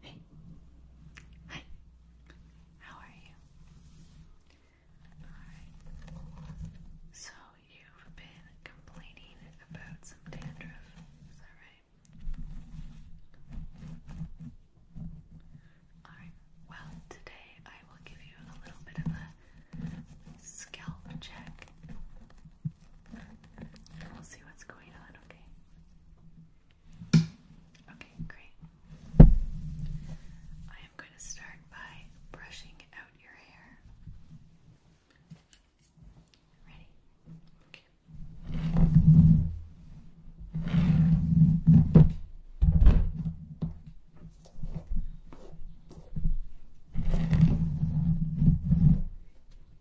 Hey. Hi. How are you? Alright. So you've been complaining about some dandruff, is that right? Alright, well, today I will give you a little bit of a scalp check. we'll see what's going on, okay? Okay, great. I am going to start by brushing out your hair. Ready? Okay.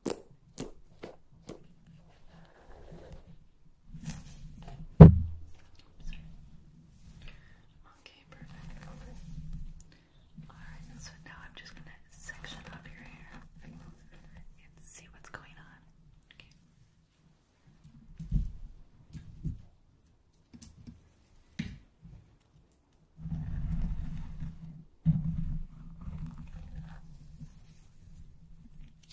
Okay, perfect. Alright, so now I'm just gonna section up your hair and see what's going on. Okay. Okay.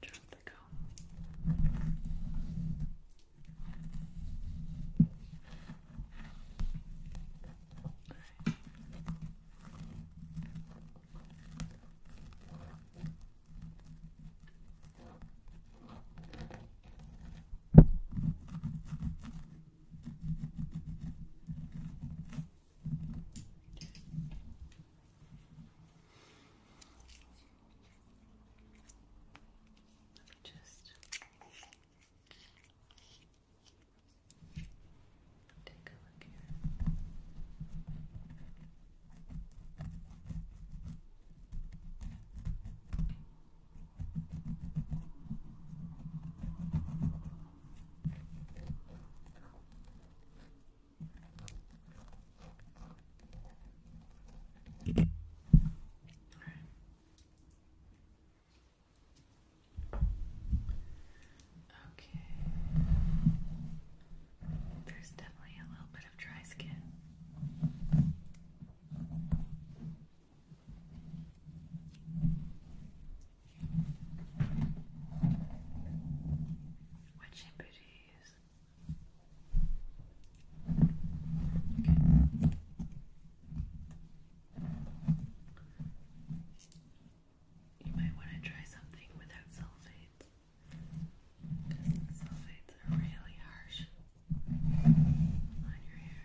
Tropical. Right. Okay. Let me just take a look here. All right. Okay. There's definitely a little bit of dry skin. What shampoo do you use? Okay. You might want to try something without sulfates. Sulfates are really harsh on your hair,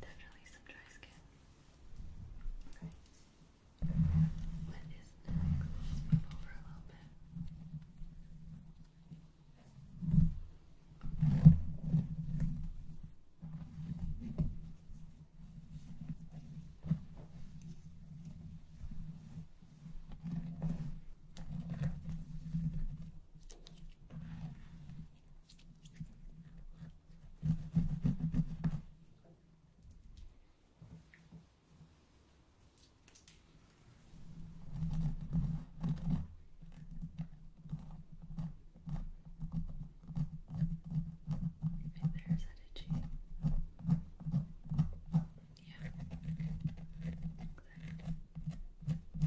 Definitely some dry skin. Okay. What is next? move over a little bit. Right there, is that itchy? Yeah, exactly. Okay.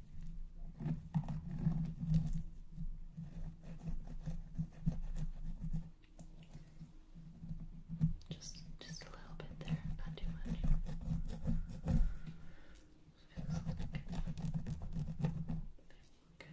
Just just a little bit there, not too much. Feels good. Okay. Okay.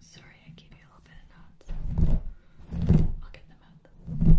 Sorry, I gave you a little bit of knots. I'll get them out.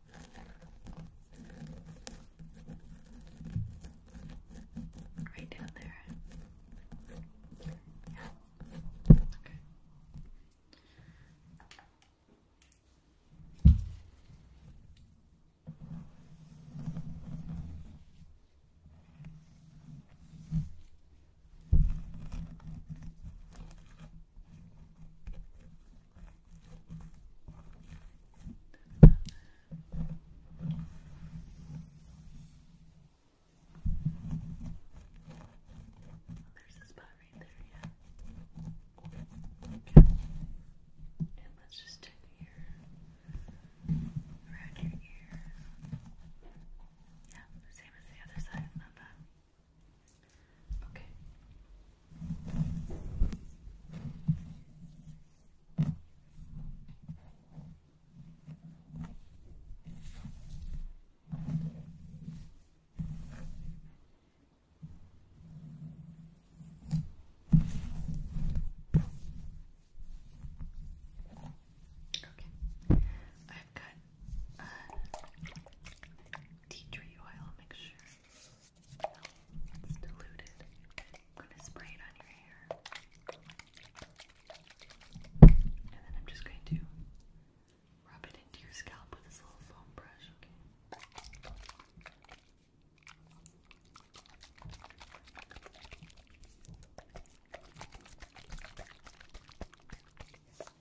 Right down there. Yeah. Okay. Okay. There's a spot right there, yeah. Okay. And let's just take here around your ear. Yeah, the same as the other side, it's not bad. Okay. Okay. I've got uh, tea tree oil mixture. So it's diluted. I'm going to spray it on your hair. And then I'm just going to rub it into your scalp with this little foam brush, Okay.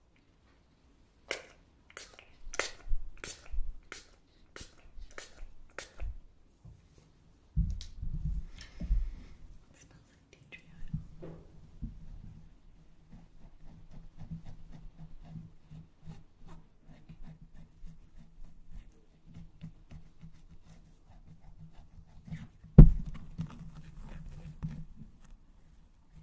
It smells like tea tree oil. I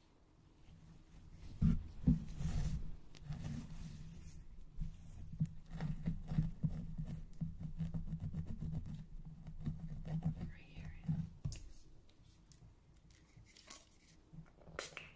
Right here. Okay.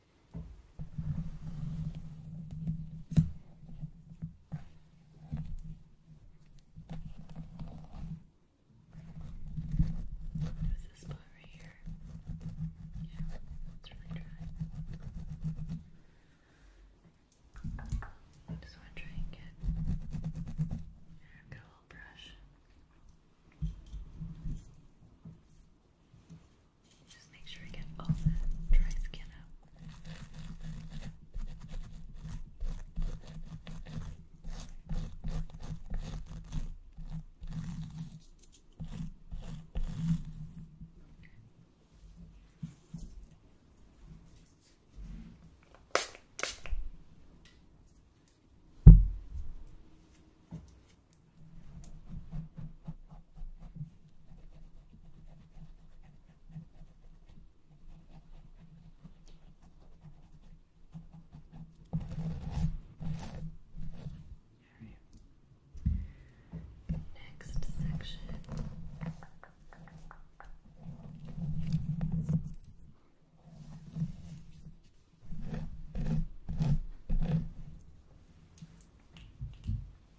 There's this spot right here. Yeah, it's really dry. I just want to try and get I've got a little brush. Just make sure I get all that dry skin out. Right. Next section.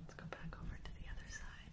Let's go back over to the other side.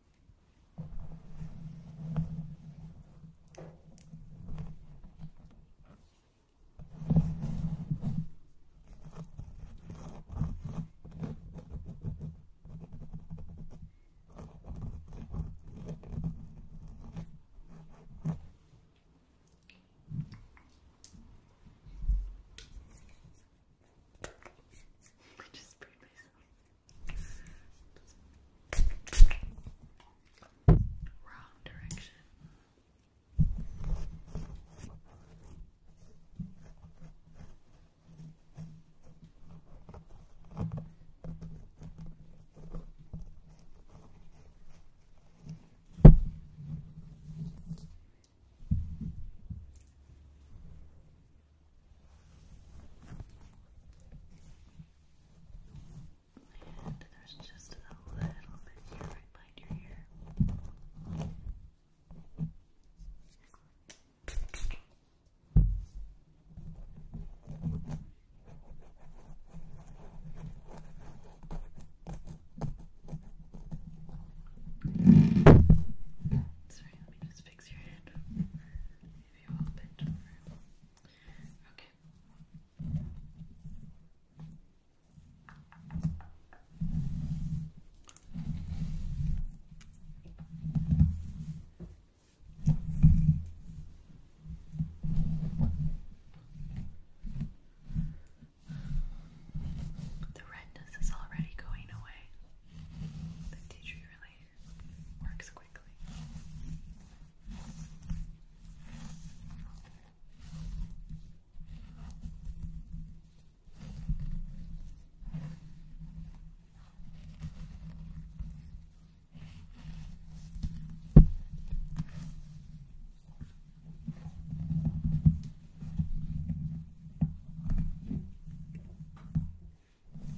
I just sprayed myself. Wrong direction. Good. And there's just a little bit here right behind your ear. Sorry, let me just fix your head if you The redness is already going away. The tea tree really works quickly. Okay. Okay,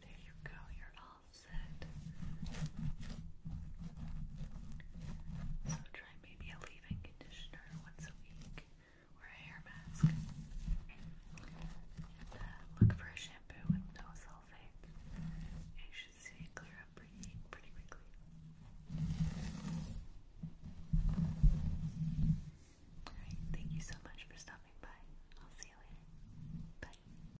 there you go. You're so try maybe a leave-in conditioner once a week or a hair mask. Uh, look for a shampoo with no sulfates. It should see it clear up pretty, pretty quickly. Alright, thank you so much for stopping by. I'll see you later. Bye.